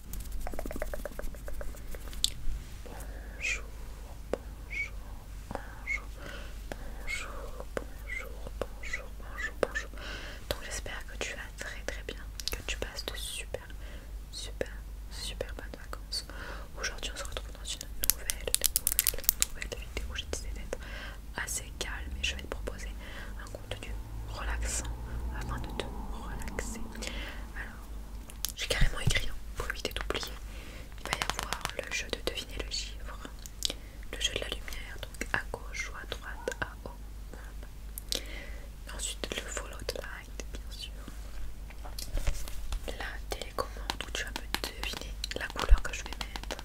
Bonjour, bonjour, bonjour, bonjour, bonjour, bonjour, bonjour, bonjour. Donc j'espère que tu vas très très bien, que tu passes de super, super, super bonnes vacances. Aujourd'hui on se retrouve dans une nouvelle, nouvelle, nouvelle vidéo. J'ai décidé d'être assez calme et je vais te proposer un contenu relaxant afin de te relaxer. Alors, j'ai carrément écrit pour hein. éviter d'oublier. Il va y avoir le jeu de deviner le chiffre, le jeu de la lumière, donc à gauche ou à droite, à haut ensuite, le follow the light, bien sûr. La télécommande où tu vas me deviner la couleur que je vais mettre.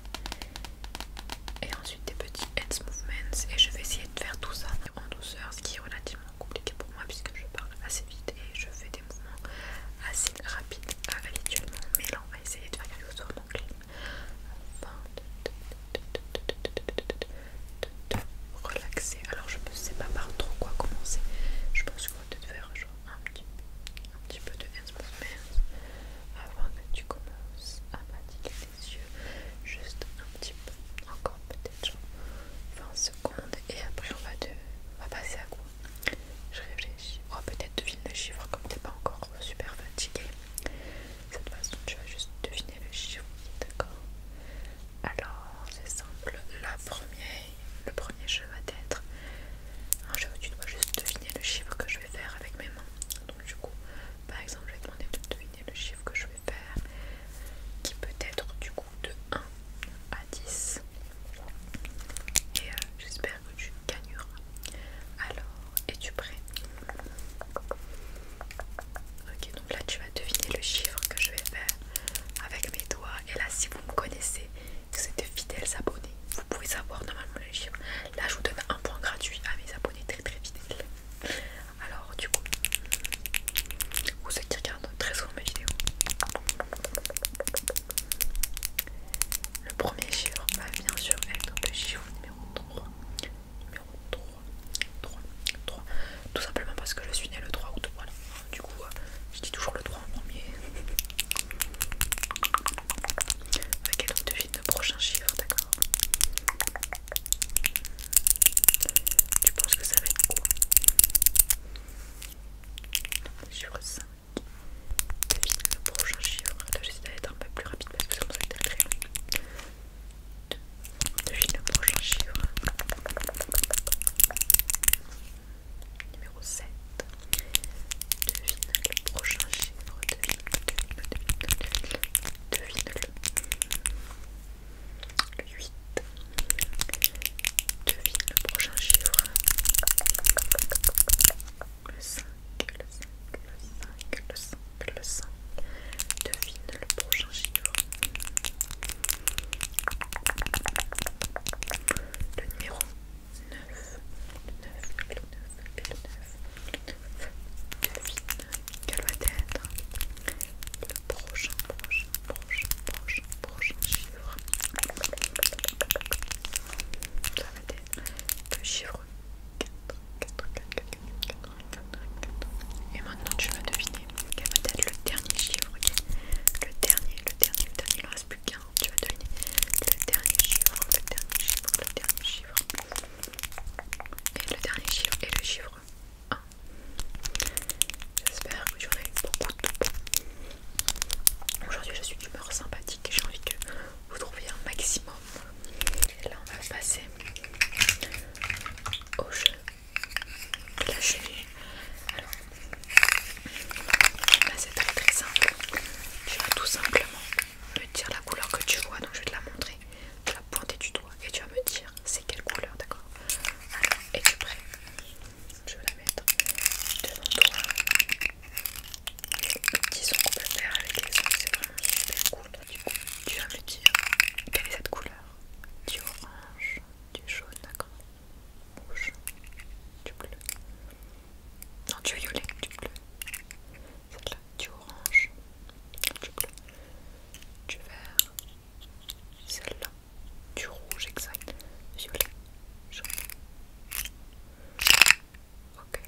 Et ensuite, des petits heads movements. Et je vais essayer de faire tout ça en douceur, ce qui est relativement compliqué pour moi puisque je parle assez vite et je fais des mouvements assez rapides euh, habituellement. Mais là, on va essayer de faire quelque chose mon clim avant de relaxer. Alors, je ne sais pas par trop quoi commencer. Je pense qu'on va peut-être faire un petit, peu de hands avant que tu commences à pratiquer tes yeux. Juste un petit peu, encore peut-être. 20 secondes et après on va, va passer à quoi Je réfléchis. Oh, peut-être deviner le chiffre comme t'es pas encore super fatigué. cette façon, tu vas juste deviner le chiffre, d'accord Alors, c'est simple. La première, le premier jeu va être un tu dois juste deviner le chiffre que je vais faire avec mes mains. Donc, du coup, par exemple, je vais demander de deviner le chiffre que je faire qui peut être du coup de 1 à 10 et euh, j'espère que tu gagneras alors es-tu prêt ok donc là tu vas deviner le chiffre que je vais faire avec mes doigts et là si vous me connaissez que vous êtes de fidèles abonnés vous pouvez savoir normalement le chiffre là je vous donne un point gratuit à mes abonnés très très fidèles alors du coup, vous ceux qui regardent très souvent mes vidéos, le premier chiffre va bien sûr être le chiffre numéro 3. Numéro 3, 3, Tout simplement parce que je suis né le 3 août. Voilà. Du coup, euh, je dis toujours le 3 en premier. Ok, donc devine le prochain chiffre, d'accord tu penses que ça va être quoi Chiffre 5. Devine le prochain chiffre. Attends, j'essaie d'être un peu plus rapide parce que ça me fait très long. Devine le prochain chiffre. Numéro 7. Devine le prochain chiffre. Devine, le devine, devine le le 8. Devine le prochain chiffre. Le 5, le 5, le 5, le 5, le Devine le prochain chiffre. Le numéro 9. Le 9, le 9, 9, quel va le prochain, prochain, prochain, prochain, chiffre Ça va être le chiffre 4, 4, Et maintenant tu vas deviner quel va être le dernier chiffre, Le dernier, le dernier, il ne reste plus qu'un, tu vas deviner le dernier chiffre, le dernier chiffre, le dernier chiffre. Et le dernier chiffre et le chiffre J'espère que j'en eu beaucoup de temps. Aujourd'hui, je suis d'humeur sympathique et j'ai envie que vous trouviez un maximum. là, on va passer au jeu de la Alors, c'est très très simple. Tu vas tout simplement me dire la couleur que tu vois. Donc, je vais te la montrer. Tu la pointer du doigt et tu vas me dire quelle couleur, d'accord Alors, es-tu prêt Je vais la mettre devant toi. Le petit son qu'on peut faire avec les ongles, c'est vraiment super cool. Du coup, tu vas me dire quelle est cette couleur Du orange, du jaune, d'accord Rouge, du bleu. Non, du violet, du bleu. Celle-là, du orange, du bleu, du vert, celle-là, du rouge exact, violet, jaune. Ok.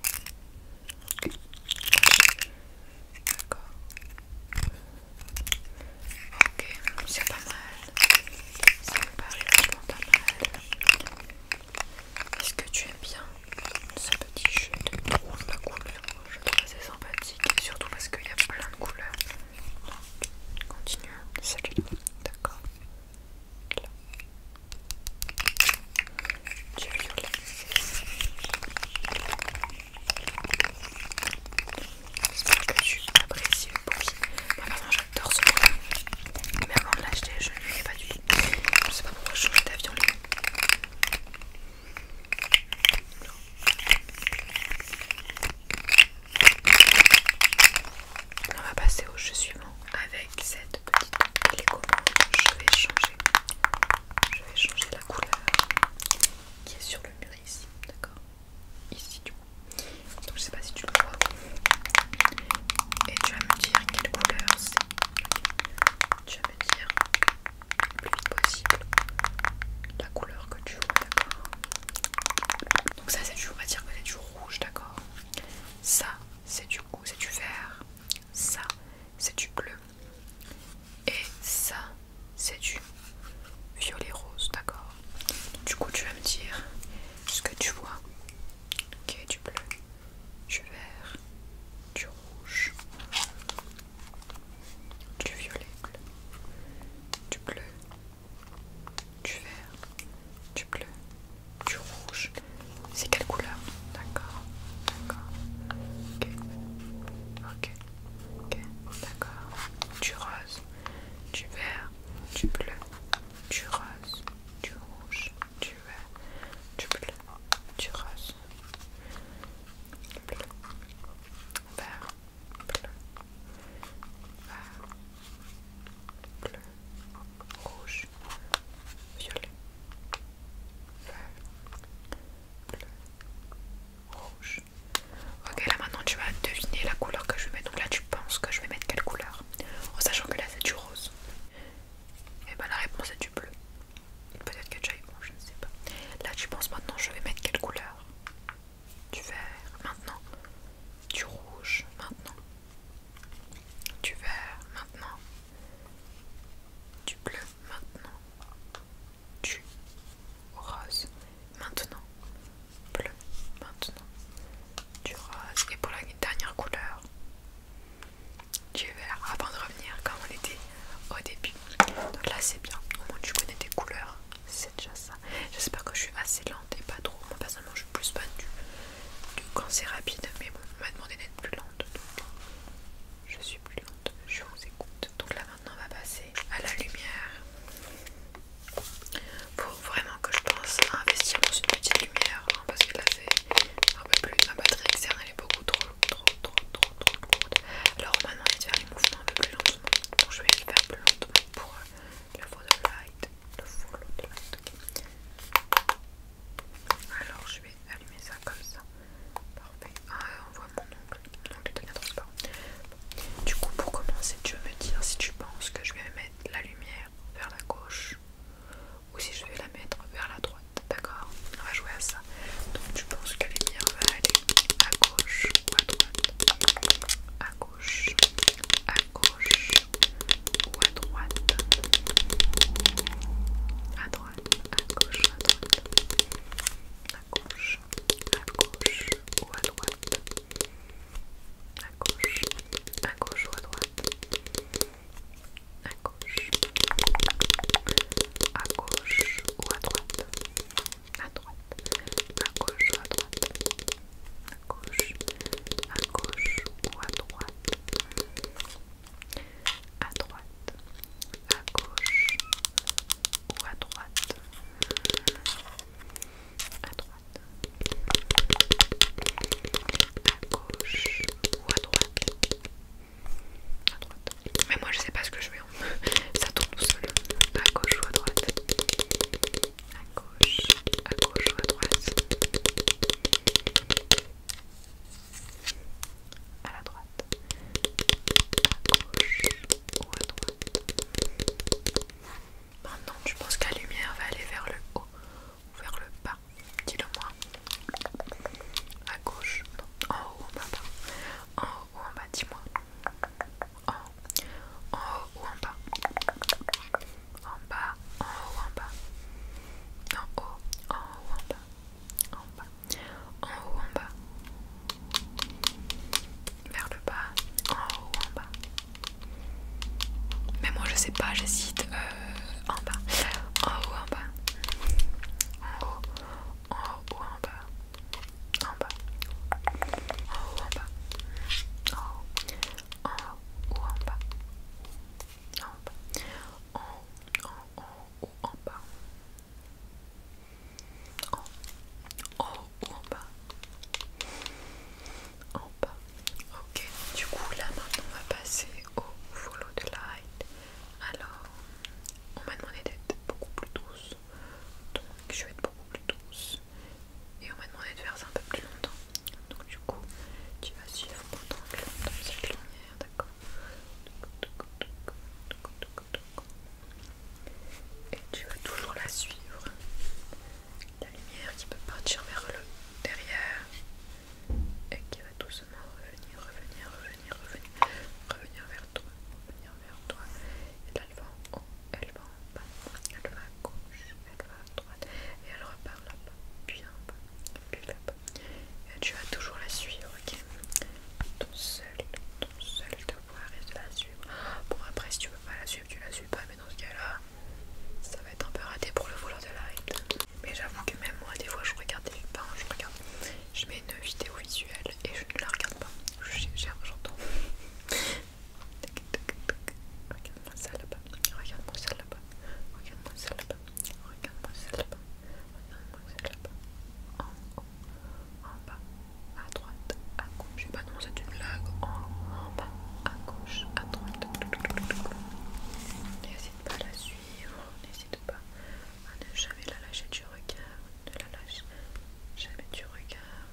D'accord. Ok, c'est pas mal. Ça me paraît vachement pas mal. Est-ce que tu aimes bien ce petit jeu de rouge la couleur je trouve assez sympathique, surtout parce qu'il y a plein de couleurs. Donc, continuons. Celui-là, d'accord. Du violet. J'espère que tu apprécies le bruit. Moi maintenant j'adore ce bruit. Mais avant de l'acheter, je ne ai pas du tout. Je ne sais pas pourquoi je change d'avion. On va passer au jeu suivant avec cette petite télécommande Je vais changer. Je vais changer la couleur qui est sur le mur ici, d'accord Ici du coup. Donc je sais pas si tu le vois. Et tu vas me dire quelle couleur c'est. Tu vas me dire plus vite possible la couleur que tu vois, d'accord Donc ça c'est du, dire que c'est du rouge, d'accord Ça c'est du c'est du vert, ça c'est du bleu et ça c'est du violet rose, d'accord Du coup tu vas me dire ce que tu vois, ok, du bleu, du vert, du rouge, du violet, du bleu, du vert, du bleu, du rouge. C'est quelle couleur D'accord, d'accord. Ok, ok, d'accord. Du rose, du vert, du bleu, du rose, du rouge, du vert, du bleu, du rose. Bleu, vert, bleu, rouge, violet, bleu, rouge. Ok, là maintenant tu vas deviner la couleur que je vais mettre. Donc là tu penses que je vais mettre quelle couleur En sachant que là c'est du rose. Et eh ben la réponse est du bleu. Peut-être que tu bon, je ne sais pas. Là tu penses maintenant je vais mettre quelle couleur du vert maintenant. Du rouge maintenant. Du vert maintenant. Du bleu maintenant. Du rose maintenant. Bleu maintenant. Du rose. Et pour la dernière couleur. Du vert avant de revenir comme on était au début. Donc là c'est bien, au moins tu connais tes couleurs, c'est déjà ça. J'espère que je suis assez lente et pas trop. Moi personnellement je suis plus fan du, cancer quand c'est rapide, mais bon, on m'a demandé d'être plus lente. Donc je suis plus lente, je vous écoute. Donc là maintenant on va passer à la lumière. Faut vraiment que je pense à investir dans une petite lumière hein, parce que là c'est un peu plus ma batterie externe elle est beaucoup trop trop trop trop alors on m'a demandé faire les mouvements un peu plus lentement. Donc je vais les faire plus lentement pour le light, Le light, ok. Alors je vais allumer ça comme ça. Parfait. Ah, on voit mon ongle. L'ongle devient transparent. Du coup, pour commencer, tu veux me dire si tu penses que je vais mettre la lumière vers la gauche ou si je vais la mettre vers la droite. D'accord On va jouer à ça. Donc tu penses que les va aller à gauche ou à droite À gauche, à gauche ou à droite À droite, à gauche, à droite À gauche, à gauche ou à droite à gauche, à gauche ou à droite à gauche, à gauche ou à droite à droite, à gauche ou à droite, à gauche, à gauche ou à droite, à droite, à gauche ou à droite, à droite, à gauche ou à droite, à droite. Mais moi je sais pas ce que je vais ça tourne tout seul, à gauche ou à droite, à gauche, à gauche ou à droite, à la droite, à gauche ou à droite. Maintenant, tu penses que la lumière va aller vers le haut ou vers le bas Dis-le moi. À gauche, en haut, en bas, ou en bas Dis-moi. En, en haut ou en bas En bas, en haut en bas En haut, en haut en bas En bas, en haut en bas Vers le bas, en haut en bas Mais moi je sais pas, j'hésite. Euh, en bas, en haut en bas En haut, en haut ou en bas en bas, en haut, en bas, en haut, ou en bas, en bas, en haut, en ou en bas, en haut ou en bas, en bas. Ok, du coup là maintenant on va passer au follow the light. Alors, on m'a demandé d'être beaucoup plus douce. Donc je vais être beaucoup plus douce. Et on m'a demandé de faire ça un peu plus longtemps. Donc du coup, tu vas suivre mon que dans cette lumière, d'accord Et tu vas toujours la suivre. La lumière qui peut partir vers le derrière et qui va doucement revenir, revenir, revenir, revenir, revenir vers toi, vers toi. Et elle va en haut, elle va en bas, elle va à gauche, elle va à droite, et elle repart là-bas, puis en bas, puis là-bas. Et tu vas toujours la suivre, ok Ton seul, ton seul devoir est de la suivre. Bon, après, si tu veux pas la suivre, tu la suis pas, mais dans ce cas-là, ça va être un peu raté pour le vouloir de la Mais j'avoue que même moi, des fois, je regarde les parents je regarde je mets une vidéo visuelle et je ne la regarde pas. J'entends. Regarde-moi ça Regarde-moi celle là-bas. Regarde-moi ça Regarde-moi ça Regarde-moi ça là En haut, en bas, à droite, à gauche. Je sais pas, non, c'est une blague. En bas, à gauche, à droite. N'hésite pas à la suivre. N'hésite pas à ne jamais la lâcher du regard de la lâche jamais du regard.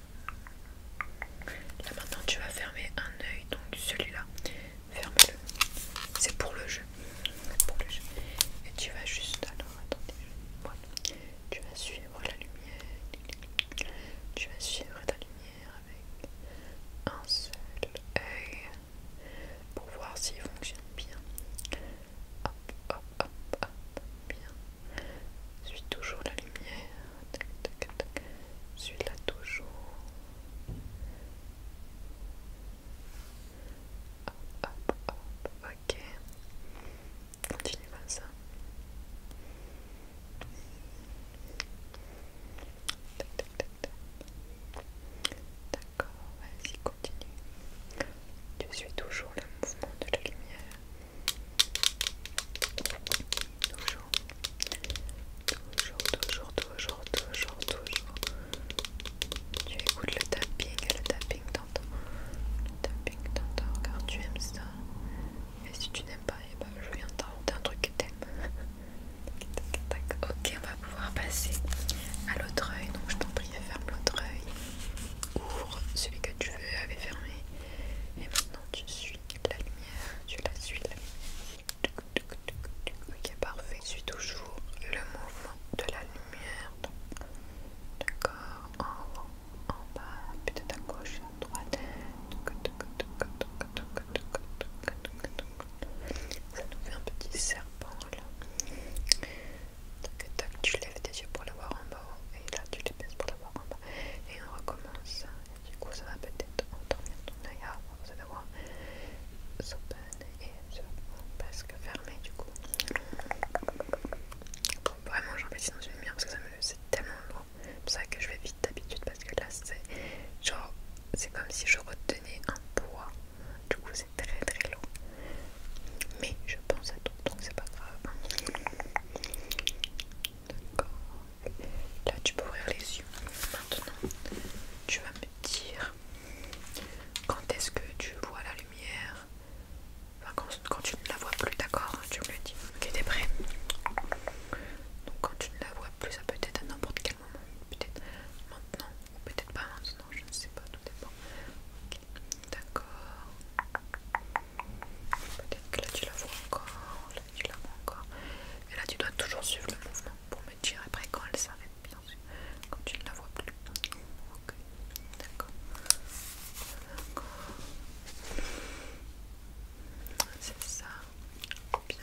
Là maintenant tu vas fermer un œil, donc celui-là, ferme-le. C'est pour le jeu. Et tu vas juste alors attendez. Tu vas suivre la lumière. Tu vas suivre ta lumière avec un seul œil pour voir s'il fonctionne bien. Hop, hop, hop, hop, bien. Suis toujours la lumière. Tac, tac, tac. Suis-la toujours. Hop, hop, hop, ok. Continue comme ça. D'accord, vas-y, tu suis toujours le mouvement de la lumière. Toujours. Toujours, toujours, toujours, toujours, toujours. Tu écoutes le tapping et le tapping tantôt. Le tapping tantôt. car tu aimes ça. Et si tu n'aimes pas, eh ben, je viens t'inventer un truc que t'aimes. Ok, on va pouvoir passer à l'autre œil. Donc, je t'en prie, ferme l'autre œil ouvre celui que tu veux avait fermé et maintenant tu suis la lumière tu la suis la lumière ok parfait je suis toujours le mouvement de la lumière d'accord en haut en bas peut-être à gauche à droite ça nous fait un petit serpent là donc tu lèves tes yeux pour le voir en bas et là tu les baisses pour le voir en bas et on recommence. du coup ça va peut-être endormir ton œil avant, ah, vous allez voir. S'open et presque fermé du coup. vraiment j'en envie dans une lumière parce que c'est tellement lourd. C'est vrai que je vais vite d'habitude parce que là c'est genre c'est comme si je retenais un poids. Du coup c'est très très lourd mais je pense à tout donc c'est pas grave. D'accord. Là tu peux ouvrir les yeux. Maintenant tu vas me dire quand est-ce que tu vois la lumière. Enfin quand, tu ne la vois plus d'accord, hein, tu me le dis. Ok t'es prêt Donc quand tu ne la vois plus ça peut être à n'importe quel moment. Peut-être maintenant ou peut-être pas maintenant, je ne sais pas, tout dépend. Ok D'accord. Peut-être que là tu la vois encore, là tu la vois encore. Et là tu dois toujours suivre le mouvement pour me dire après quand elle s'arrête, bien sûr. Quand tu ne la vois plus. Ok. D'accord. C'est ça. Bien.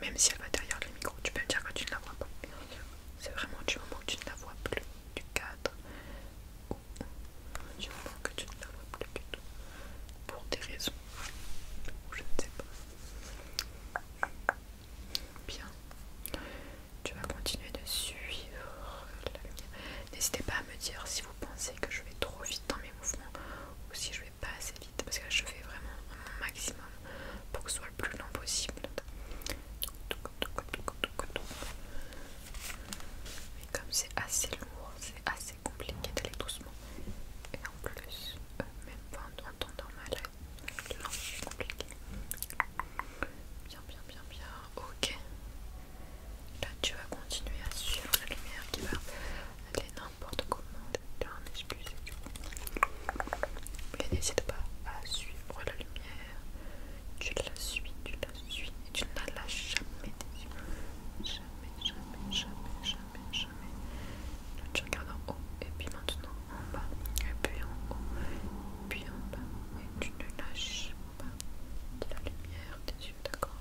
Même si elle va derrière le micro, tu peux me dire que tu ne la vois pas. C'est vraiment du moment que tu ne la vois plus du cadre ou du moment que tu ne la vois plus du tout. Pour des raisons, ou je ne sais pas. Bien. Tu vas continuer de suivre la lumière. N'hésitez pas à me dire si vous pensez que je vais trop vite dans mes mouvements ou si je vais pas assez vite parce que je fais vraiment mon maximum pour que ce soit le plus lent possible. Mais comme c'est assez lourd, c'est assez compliqué d'aller doucement. Et en plus, euh, même pas en temps normal, c'est compliqué. Bien, bien, bien, bien. Ok. Là, tu vas continuer à suivre la lumière qui va aller n'importe comment un excuse et du coup. n'hésite pas à suivre la lumière. Tu la suis, tu la suis et tu ne la lâches jamais des yeux. Jamais, jamais, jamais, jamais, jamais. tu regardes en haut et puis maintenant en bas et puis en haut et puis en bas et tu ne lâches pas de la lumière des yeux, d'accord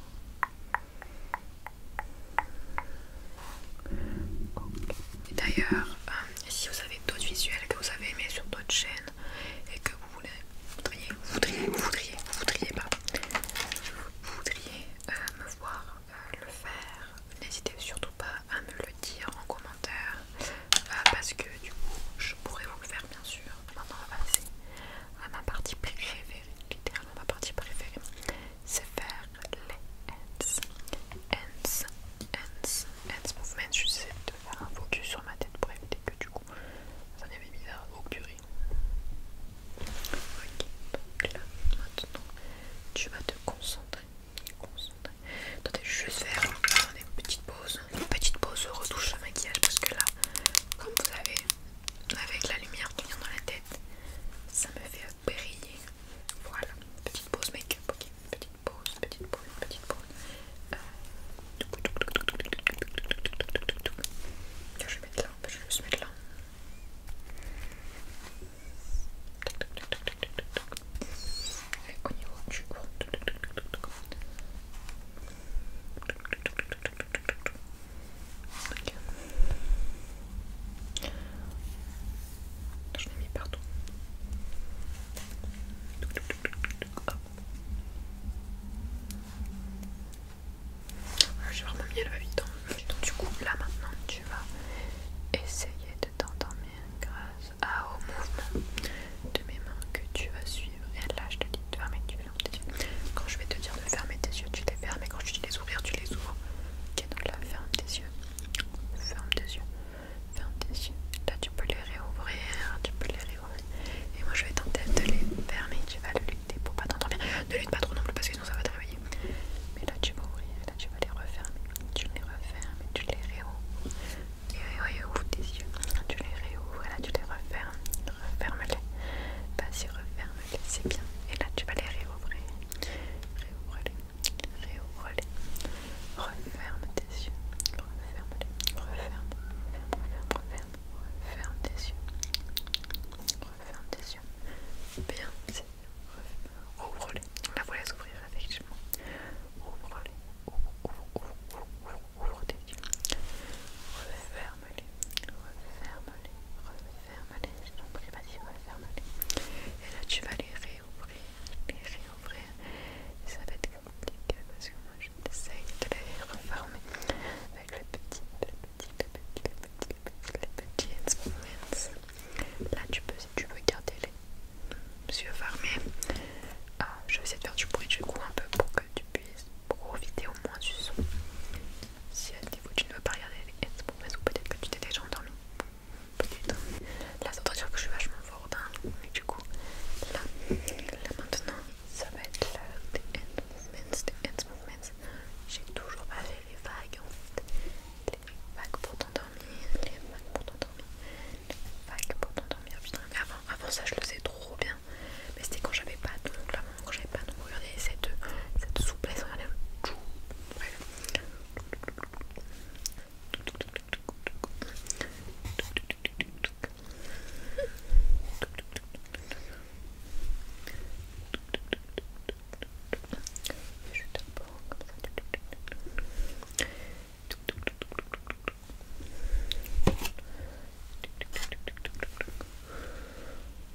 D'ailleurs, euh, si vous avez d'autres visuels que vous avez aimés sur d'autres chaînes et que vous voudriez, voudriez, voudriez, voudriez, pas, voudriez euh, me voir euh, le faire, n'hésitez surtout pas à me le dire en commentaire parce que du coup, je pourrais vous le faire bien sûr. Maintenant, on va passer à ma partie préférée, littéralement ma partie préférée c'est faire les hands. Hands, hands, hands movement. Je suis de faire un focus sur ma tête pour éviter que du coup ça n'est pas bizarre. Au curry Ok, donc là maintenant tu vas te concentrer. concentrer. Attendez, je vais faire une petite pause, une petite pause retouche de maquillage parce que là, comme vous savez, avec la lumière qui vient dans la tête, ça me fait briller. Voilà, petite pause make-up, ok, petite pause, petite pause, petite pause. Euh, je vais mettre là, je vais juste mettre là. Et au niveau du haut. Je l'ai mis partout. j'ai vraiment mis à la va Donc, du coup, là maintenant, tu vas essayer de t'endormir grâce à, au mouvement de mes mains que tu vas suivre. Et là, je te dis de fermer tes yeux. Quand je vais te dire de fermer tes yeux, tu les fermes. Et quand je te dis de les ouvrir, tu les ouvres. Ok, donc là, ferme tes yeux. Ferme tes yeux. Ferme tes yeux. Là, tu peux les réouvrir. Tu peux les réouvrir. Et moi, je vais tenter de les fermer. Tu vas le lutter pour pas t'entendre bien. Ne lutte pas trop non plus parce que sinon ça va travailler. Mais là, tu vas ouvrir. Là, tu vas les refermer. Tu les refermes et tu les réouvres. Et ouvre tes yeux. Tu les réouvres et là, tu les refermes. Referme-les. Vas-y, referme ferme c'est bien. Et là, tu vas les réouvrir. Réouvre-les, réouvre-les. Referme tes yeux. Referme-les, referme, referme, referme, referme tes yeux. Referme tes yeux. Bien, c'est rouvre les Là, vous les ouvrir effectivement. Ouvre-les. Ouvre, ouvre, ouvre, ouvre, ouvre, ouvre tes yeux. Referme-les, referme-les, referme-les. Et là, tu vas les réouvrir, les réouvrir. ça va être compliqué parce que moi, je t'essaye de les avec les petit, le petit, le petit, le petit, Là, tu peux, si tu veux, garder les yeux fermés. Ah, je vais essayer de faire du bruit du coup un peu pour que tu puisses profiter au moins du son. Si ce euh, niveau tu ne veux pas regarder les movements ou peut-être que tu t'es déjà endormi. Peut-être. Là, c'est doit que je suis vachement fort hein. Mais du coup, là, maintenant, ça va être l'heure des end movements, J'ai toujours pas fait les vagues en fait. Les vagues pour t'endormir, les vagues pour t'endormir, les vagues pour t'endormir. avant, avant ça, je le sais trop bien. Mais c'était quand j'avais pas de donc pas plus, regardez cette, cette souplesse regardez Je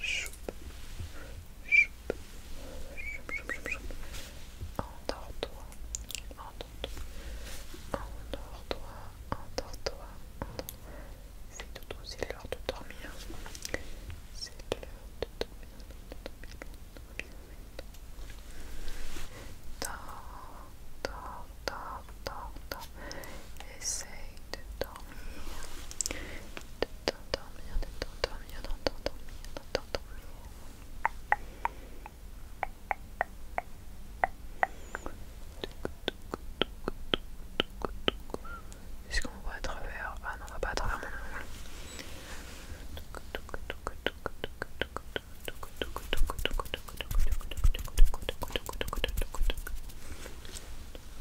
choup, choup, choup, choupe, choupe. Endors-toi, endors-toi, endors-toi, endors-toi. C'est tout doux, l'heure de dormir. C'est l'heure de dormir, dormir, dormir. Dors, dors, dors, Essaye de dormir, de t'endormir, Est-ce qu'on voit à travers Ah non, on va pas à travers mon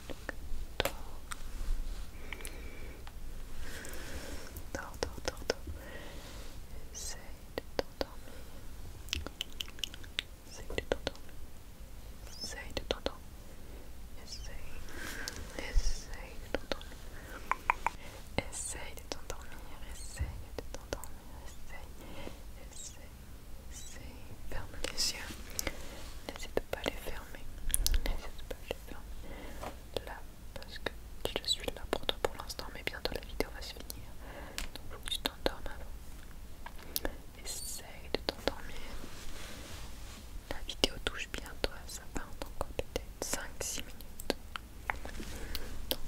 donc Essaye de t'endormir. Essaye de t'endormir. Essaye de t'endormir. Essaye. Essaye de t'endormir. Essaye de t'endormir. Essaye de Essaye. Essaye. Ferme les yeux. N'hésite pas à les fermer. pas là parce que je suis là pour toi pour l'instant mais bientôt la vidéo va se finir donc faut que tu t'endormes avant essaye de t'endormir la vidéo touche bientôt ça va encore peut-être 5-6 minutes donc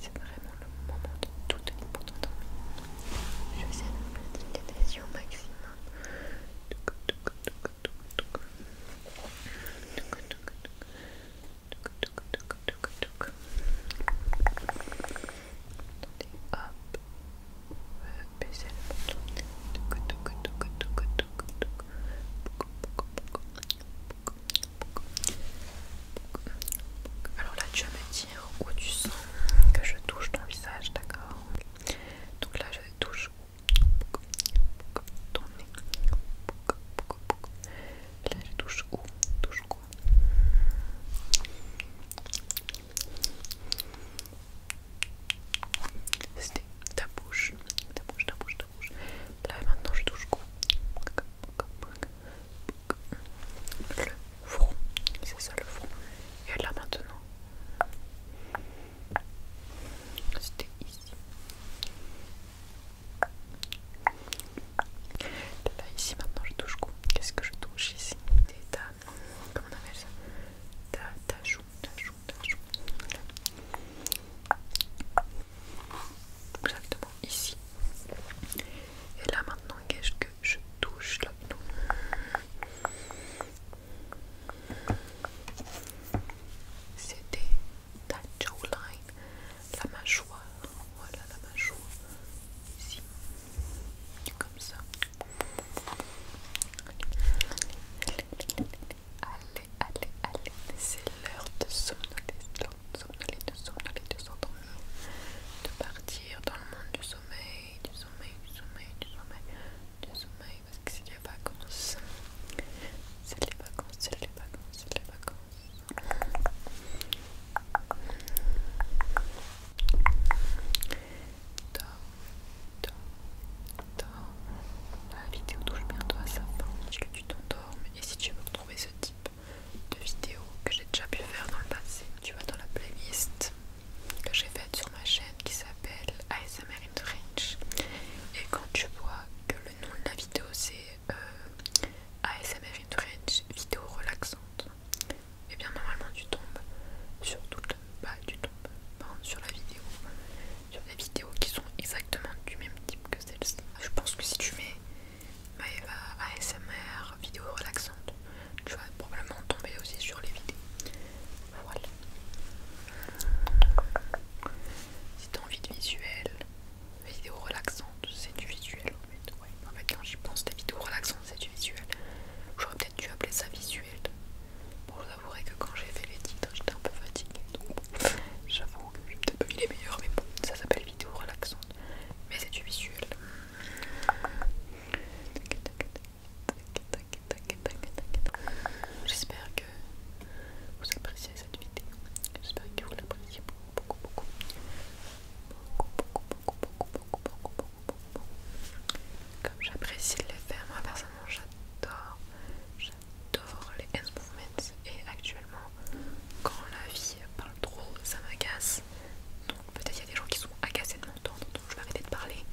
c'est vraiment le moment de tout tenir pour t'endormir je vais essayer de pratiquer des yeux au maximum alors là, tu vas me dire tu sens que je touche ton visage, d'accord touche ton nez. Là, je touche où Touche C'était ta bouche, ta bouche, ta bouche, ta bouche. Là, maintenant, je touche Le front, c'est ça le front. Et là, maintenant, c'était ici. Là, ici, maintenant, je touche quoi Qu'est-ce que je touche ici Comment on appelle ça ta, ta joue, ta joue, ta joue. Exactement, ici. Et là, maintenant, qu'est-ce que je touche là c'était ta jawline, la mâchoire. Voilà la mâchoire. Ici. Comme ça. Allez, allez, allez. C'est l'heure de somnoler, de somnoler, de de De partir dans le monde du sommeil, du sommeil, du sommeil, du sommeil, du sommeil, parce que c'est les vacances. C'est les vacances, c'est les vacances, c'est les vacances. Dorme, dorme, dorme La vidéo touche bientôt à sa fin. est que tu t'endormes et si tu veux retrouver ce type de vidéo que j'ai déjà pu faire dans le passé, tu vas dans la playlist que j'ai faite sur ma chaîne qui s'appelle ASMR in Et quand tu vois que le nom de la vidéo c'est euh, ASMR in vidéo relaxante, et eh bien normalement tu tombes sur toutes bah, tu tombes sur la vidéo, sur des vidéos qui sont exactement du même type que celle-ci. Je pense que si tu mets ASMR bah, vidéo relaxante, tu vas probablement tomber aussi sur les vidéos. Bah, voilà. Si t'as envie de visuel, vidéo relaxante, c'est du visuel en fait. En fait, quand j'y pense, des vidéos relaxantes, c'est du visuel. J'aurais peut-être dû appeler ça visuel. Bon, je vous avouerai que quand j'ai fait les titres, j'étais un peu fatiguée. Donc, j'avoue que j'ai peut-être pas il les meilleurs, mais bon, ça s'appelle vidéo relaxante. Mais c'est du visuel. J'espère que vous appréciez cette vidéo. J'espère que vous l'appréciez beaucoup, beaucoup, beaucoup. Beaucoup, beaucoup, beaucoup, beaucoup, Comme j'apprécie les faire, moi personnellement j'adore. J'adore les hand movements et actuellement, quand la vie parle trop, ça m'agace. Donc peut-être il y a des gens qui sont agacés de m'entendre je vais arrêter de parler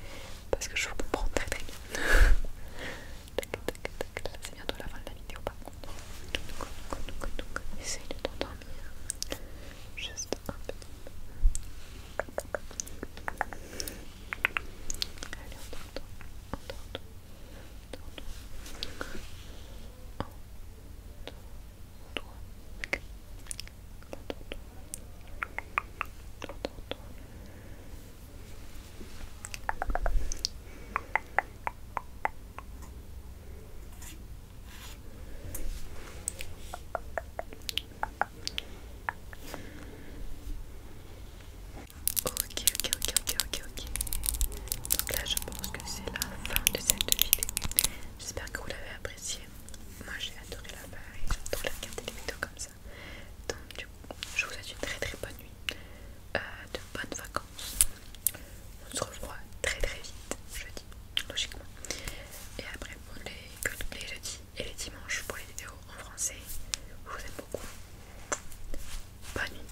parce que je vous comprends très très bien. C'est bientôt la fin de la vidéo par contre. Essaye de t'endormir. Juste un petit peu. Allez, on t'entend. On t'entend. On t'entend. On t'entend. Ok, ok, ok, ok, ok, ok. Donc là, je pense que c'est la fin de cette vidéo. J'espère que vous l'avez appréciée. Moi, j'ai adoré la faire et j'adore regarder des vidéos comme ça. Donc du coup, je vous souhaite une très très bonne nuit, euh, de bonnes vacances. On se revoit très très vite jeudi, logiquement. Et après pour les, les jeudis et les dimanches pour les vidéos en français. Je vous aime beaucoup. Bonne nuit.